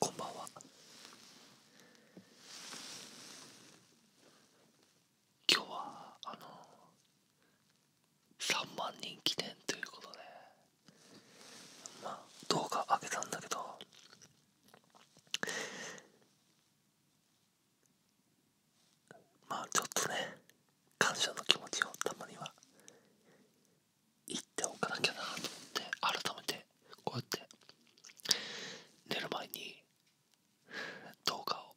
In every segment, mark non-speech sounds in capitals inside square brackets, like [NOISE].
こんばんは今日はあの3万人記念ということでまあ動画上げたんだけどまあちょっとね感謝の気持ちをたまには言っておかなきゃなと思って改めてこうやって寝る前に動画を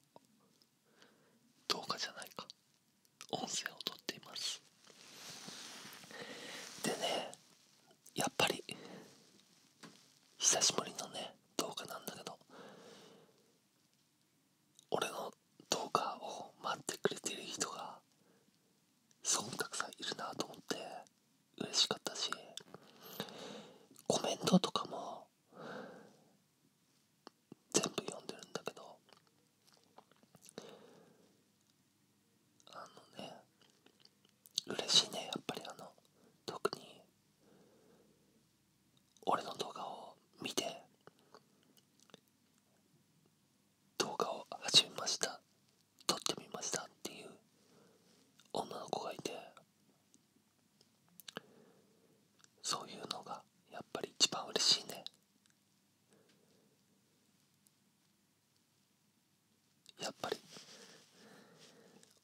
動画じゃないか音声を撮っていますでねやっぱり久しぶりのね動画なんだけど俺の動画を待ってくれてる人がすごくたくさんいるなと思って嬉しかったしコメントとかも全部読んでるんだけどあのね嬉しいねやっぱりあの特に俺の動画を見て動画を始めました撮ってみましたっていう女の子がいてそういうのがやっぱり一番嬉しいねやっぱり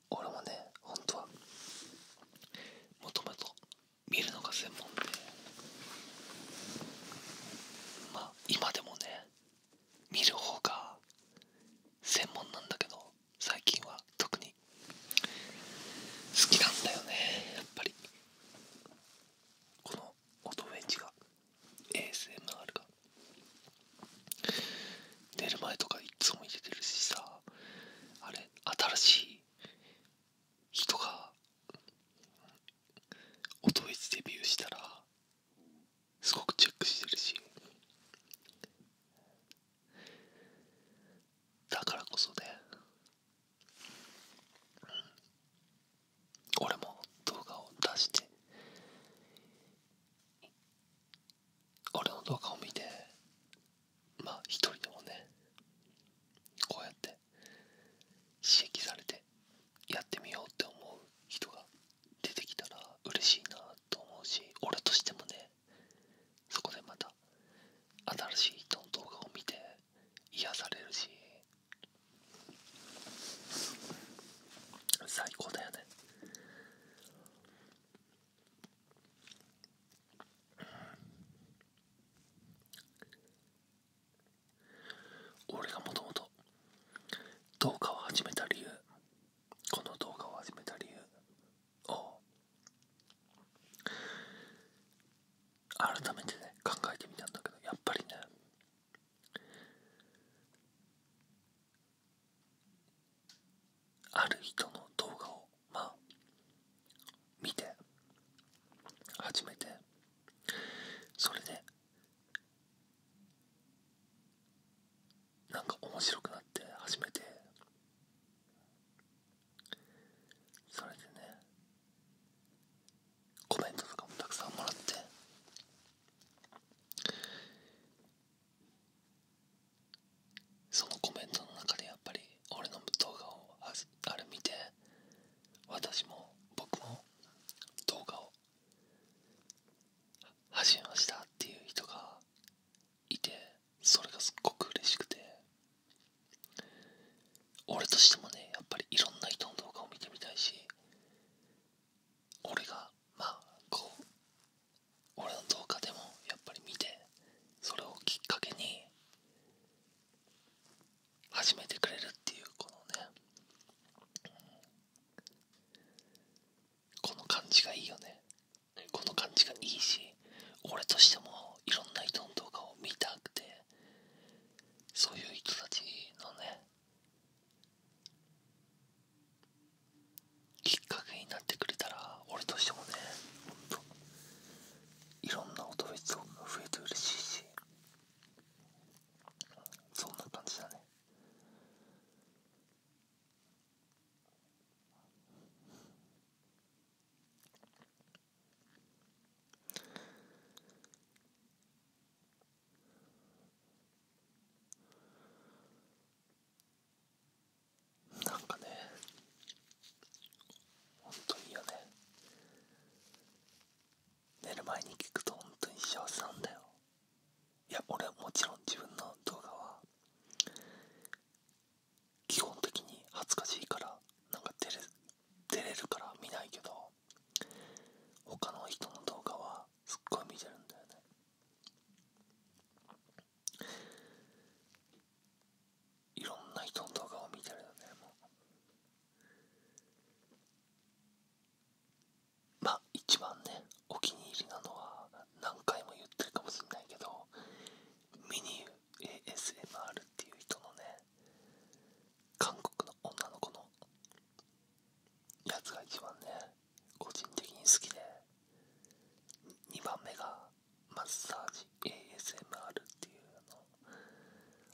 俺もね本当はもともと見るのが専門まあ今でもね見る方が専門なんだけど最近は特に好きなんだよねやっぱりこのオートウェジが ASMR が寝る前とかいつも入れてるしさあれ新しい人が音フ一デビューしたらすごくチェックしてるしだからこそね俺も動画を出して俺の動画を見てまあ一人でもねこうやって刺激されてやってみようって思う人が出てきたら嬉しいなと思うし俺としてもねそこでまた新しい人の動画を見て癒されるし最高だよね俺がもともと動画を始めた理由この動画を始めた理由を改めてね考えてみたんだけどやっぱりねある人の動画をまあ見て初めてそれで何か面白くなって初めてそれでねコメントとかもたくさんもらってそのコメントの中でやっぱり俺の動画をああ見て私も僕も動画を始めましたっていう人がいてそれがすっごく嬉しくて俺としてもねやっぱりいろんな人の動画を見てみたいし俺がまあこう俺の動画でもやっぱり見てそれをきっかけに始めてくれるっていうこのね、この感じがいいよねこの感じがいいし俺としてもいろんな人の動画を見たくてそういう人たちのねきっかけになってくれたら俺としてもねいろんな音別音が増えて嬉しいしそんな感じだねなんかねほんといいよね寝る前に聞くとほんとに幸せなんだよいや俺もちろん自分の動画は基本的に恥ずかしいからなんか出れ照れるから見ないけど他の人の動画はすっごい見てるんだよねいろんな人の動画を見てるよね。もうまあ一番ねお気に入りなのは何回も言ってるかもしれないけどミニ ASMR っていう人のね韓国の女の子のやつが一番ね個人的に好きで2番目がマッサージ ASMR っていう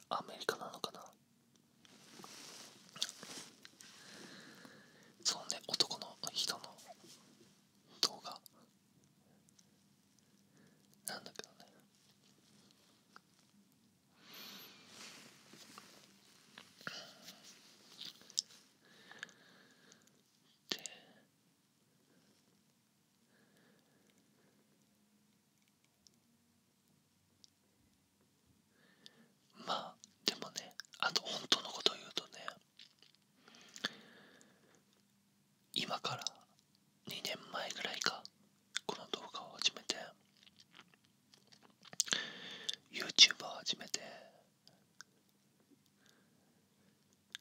のアメリカなのかなそのね男の人の動画なんだけどねでまあでもねあと本当のことを言うとね今から2年前ぐらいかこの動画を始めて YouTube を始めて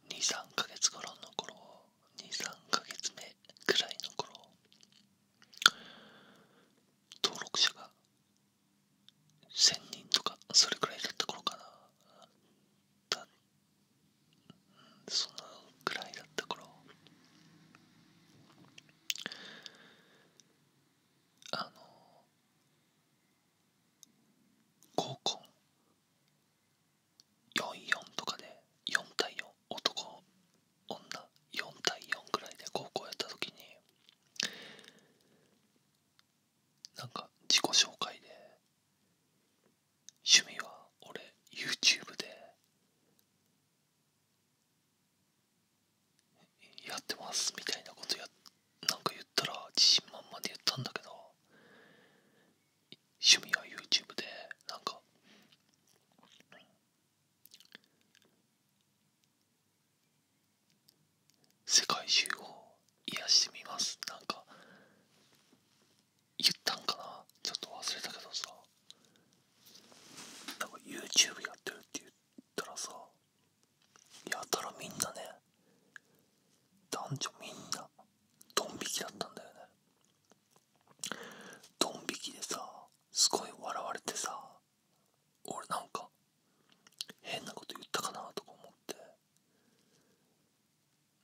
23ヶ月頃の頃23ヶ月目くらいの頃登録者が1000人とかそれくらいだった頃かなだそのくらいだった頃あの合コン44とかで4対4男女4対4ぐらいで高校やった時になんか自己紹介で「趣味は俺 YouTube でやってますみたいなことやなんか言ったら自信満々で言ったんだけど趣味は YouTube でなんか世界中を癒してみますなんか言ったんかなちょっと忘れたけどさなんか YouTube やってるって言ったらさやたらみんなね男女みんなドン引きだったんだよねドン引きでさすごい笑われてさ俺なんか変なこと言ったかなとか思って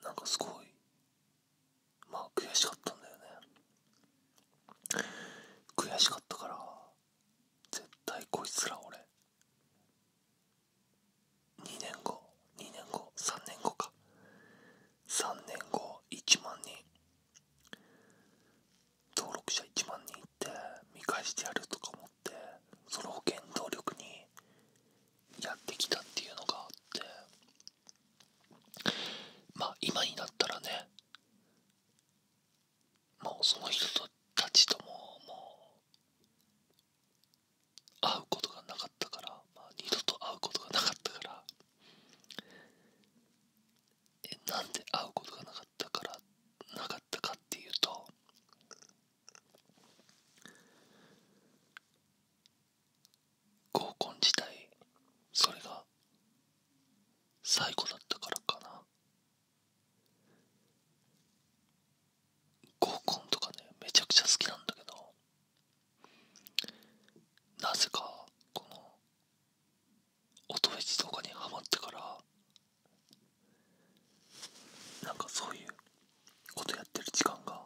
なんかすごいまあ悔しかったんだよね悔しかったから絶対こいつら俺2年後2年後3年後か3年後1万人登録者1万人って見返してやるとか思ってその保険動力にやってきたっていうのがあってまあ今になったらねもうその人たちとももう会うことがなかったから、まあ、二度と会うことがなかったからえなんで会うことがなかったからなかったかっていうと合コン自体それが最後だったからかな合コンとかねめちゃくちゃ好きなんだけどなぜかこの音フェチとかにハマってからなんかそういうことやってる時間が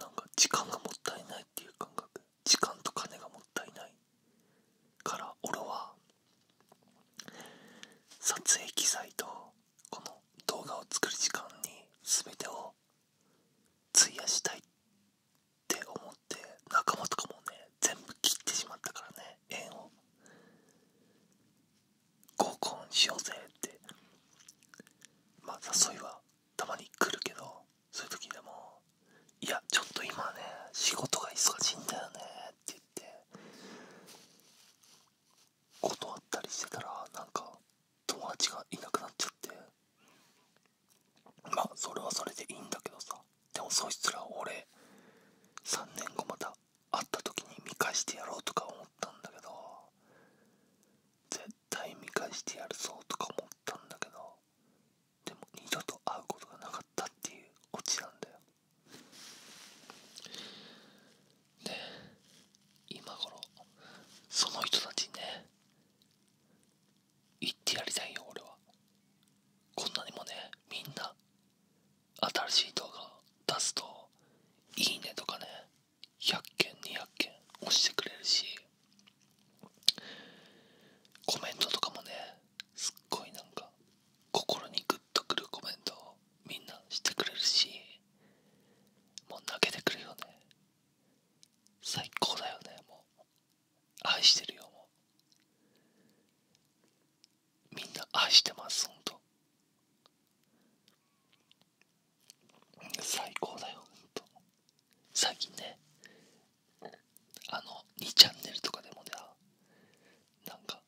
なんか時間がもったいないっていう感覚時間と金がもったいないから俺は撮影機材とこの動画を作る時間に全てを費やしたいって思って仲間とかもね全部切ってしまったからね縁を合コンしようぜってまあ誘いはたまに来るけどそういう時でも「いやちょっと今ね仕事が忙しいんだよね」って言って断ったりしてたらなんか友達がいなくなっちゃってまあそれはそれでいいんだけどさでもそいつら俺3年後また会った時に見返してやろうとか思ったんだけど絶対見返してやるぞとか思ったんだけどでも二度と会うことがなかったっていうオチなんだよね今頃その人たちにね言ってやりたいよ俺はこんなにもねみんな新しい動画を出すと「いいね」とかね100件200件押してくれるしコメントとかもねすっごいなんか心にグッとくるコメントをみんなしてくれるしもう泣けてくるよね最高だよねもう愛してるよもうみんな愛してますほんと最高だよほんと最近ねあの2チャンネルとかでもねなんか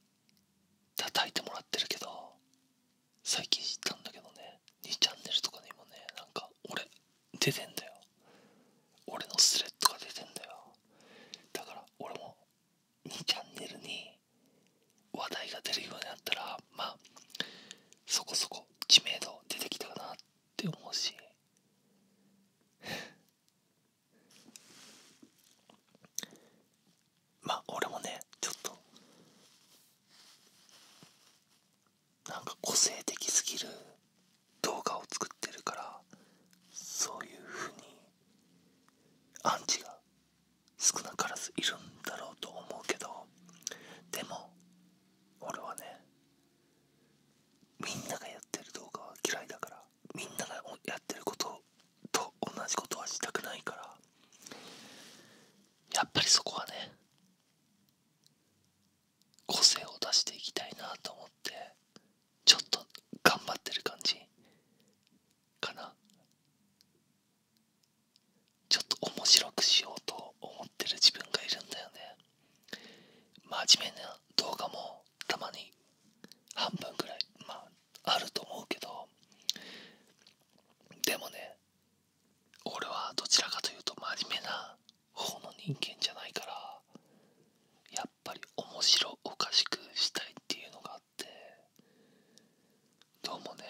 叩いてもらってるけど最近知ったんだけどね2チャンネルとかにもねなんか俺出てんだよ俺のスレッドが出てんだよだから俺も2チャンネルに話題が出るようになったらまあそこそこ知名度出てきたかなってってほし [LAUGHS] まあ俺もねちょっとなんか個性的すぎる動画を作ってるからそういうふうにアンチが少なからずいるんだろうと思うけどでも俺はねみんながやってる動画は嫌いだからみんながやってることと同じことはしたくないからやっぱりそこはね個性を出していきたいなと思ってちょっと頑張ってる感じかなちょっと面白くしようと思ってる自分がいるんだよね真面目な動画もたまに半分ぐらいまああると思うけどでもね俺はどちらかというと真面目な方の人間じゃないからやっぱり面白おかしくしたいっていうのがあってどうもね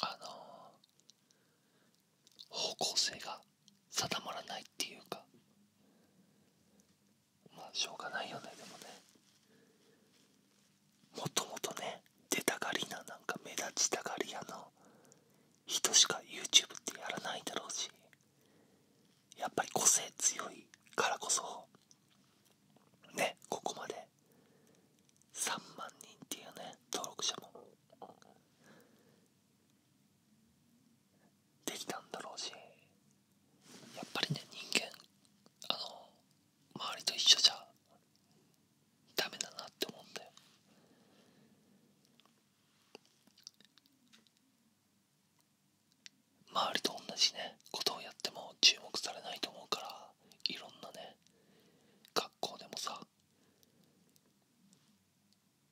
あの方向性が定まらないっていうかまあしょうがないよねでもねもともとね出たがりななんか目立ちたがり屋の人しか YouTube ってやらないだろうしやっぱり個性強いからこそねここまで3万人っていうね登録者もできたんだろうしやっぱりね人間あの周りと一緒じゃダメだなって思うんだよ周りと同じねことをやっても注目されないと思うからいろんなね学校でもさ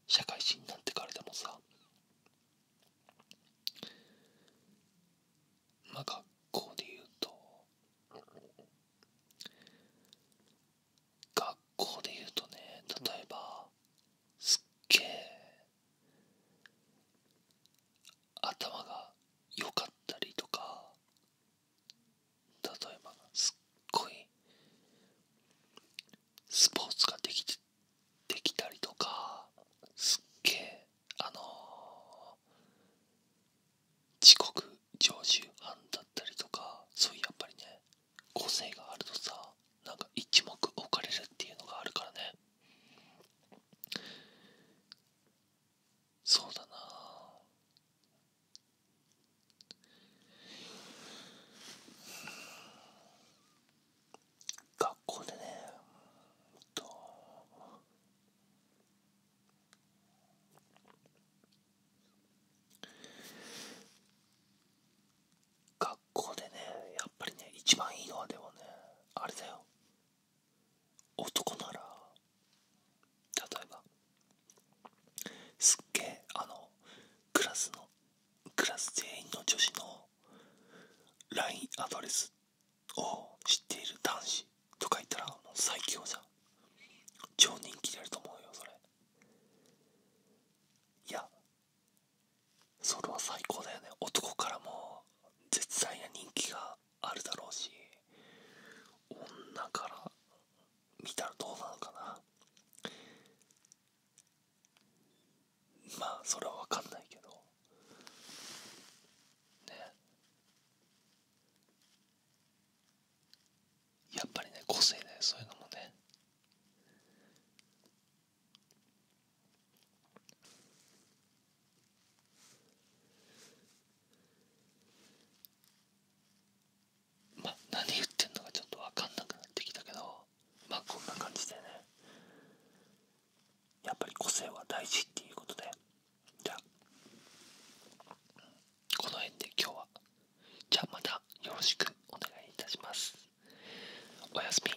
社会人なんてからでもさまあ学校で言うと学校で言うとね例えばすっげえ頭が良かったりとか例えばすっごいスポーツができてできたりとかすっげえあの自国常習犯だったりとかそういうやっぱりね個性があるとさなんか一目置かれるっていうのがあるからねそうだな学校でねと学校でねやっぱりね一番いいのはでもねあれだよ男なら例えばすっげえあのクラスのクラス全員の女子の LINE アドレスを知っている男子とかいたらもう最強じゃん超人気で出ると思うよそれいやそれは最高だよね男からも絶大な人気があるだろうし女から見たらどうなのかなまあそれは分かんないけどねやっぱりね個性ねそういうのもねまあ何言ってんのかちょっと分かんなくなってきたけどまあこんな感じでねやっぱり個性は大事っていうことでじゃあこの辺で今日はじゃあまたよろしくお願いいたしますおやすみ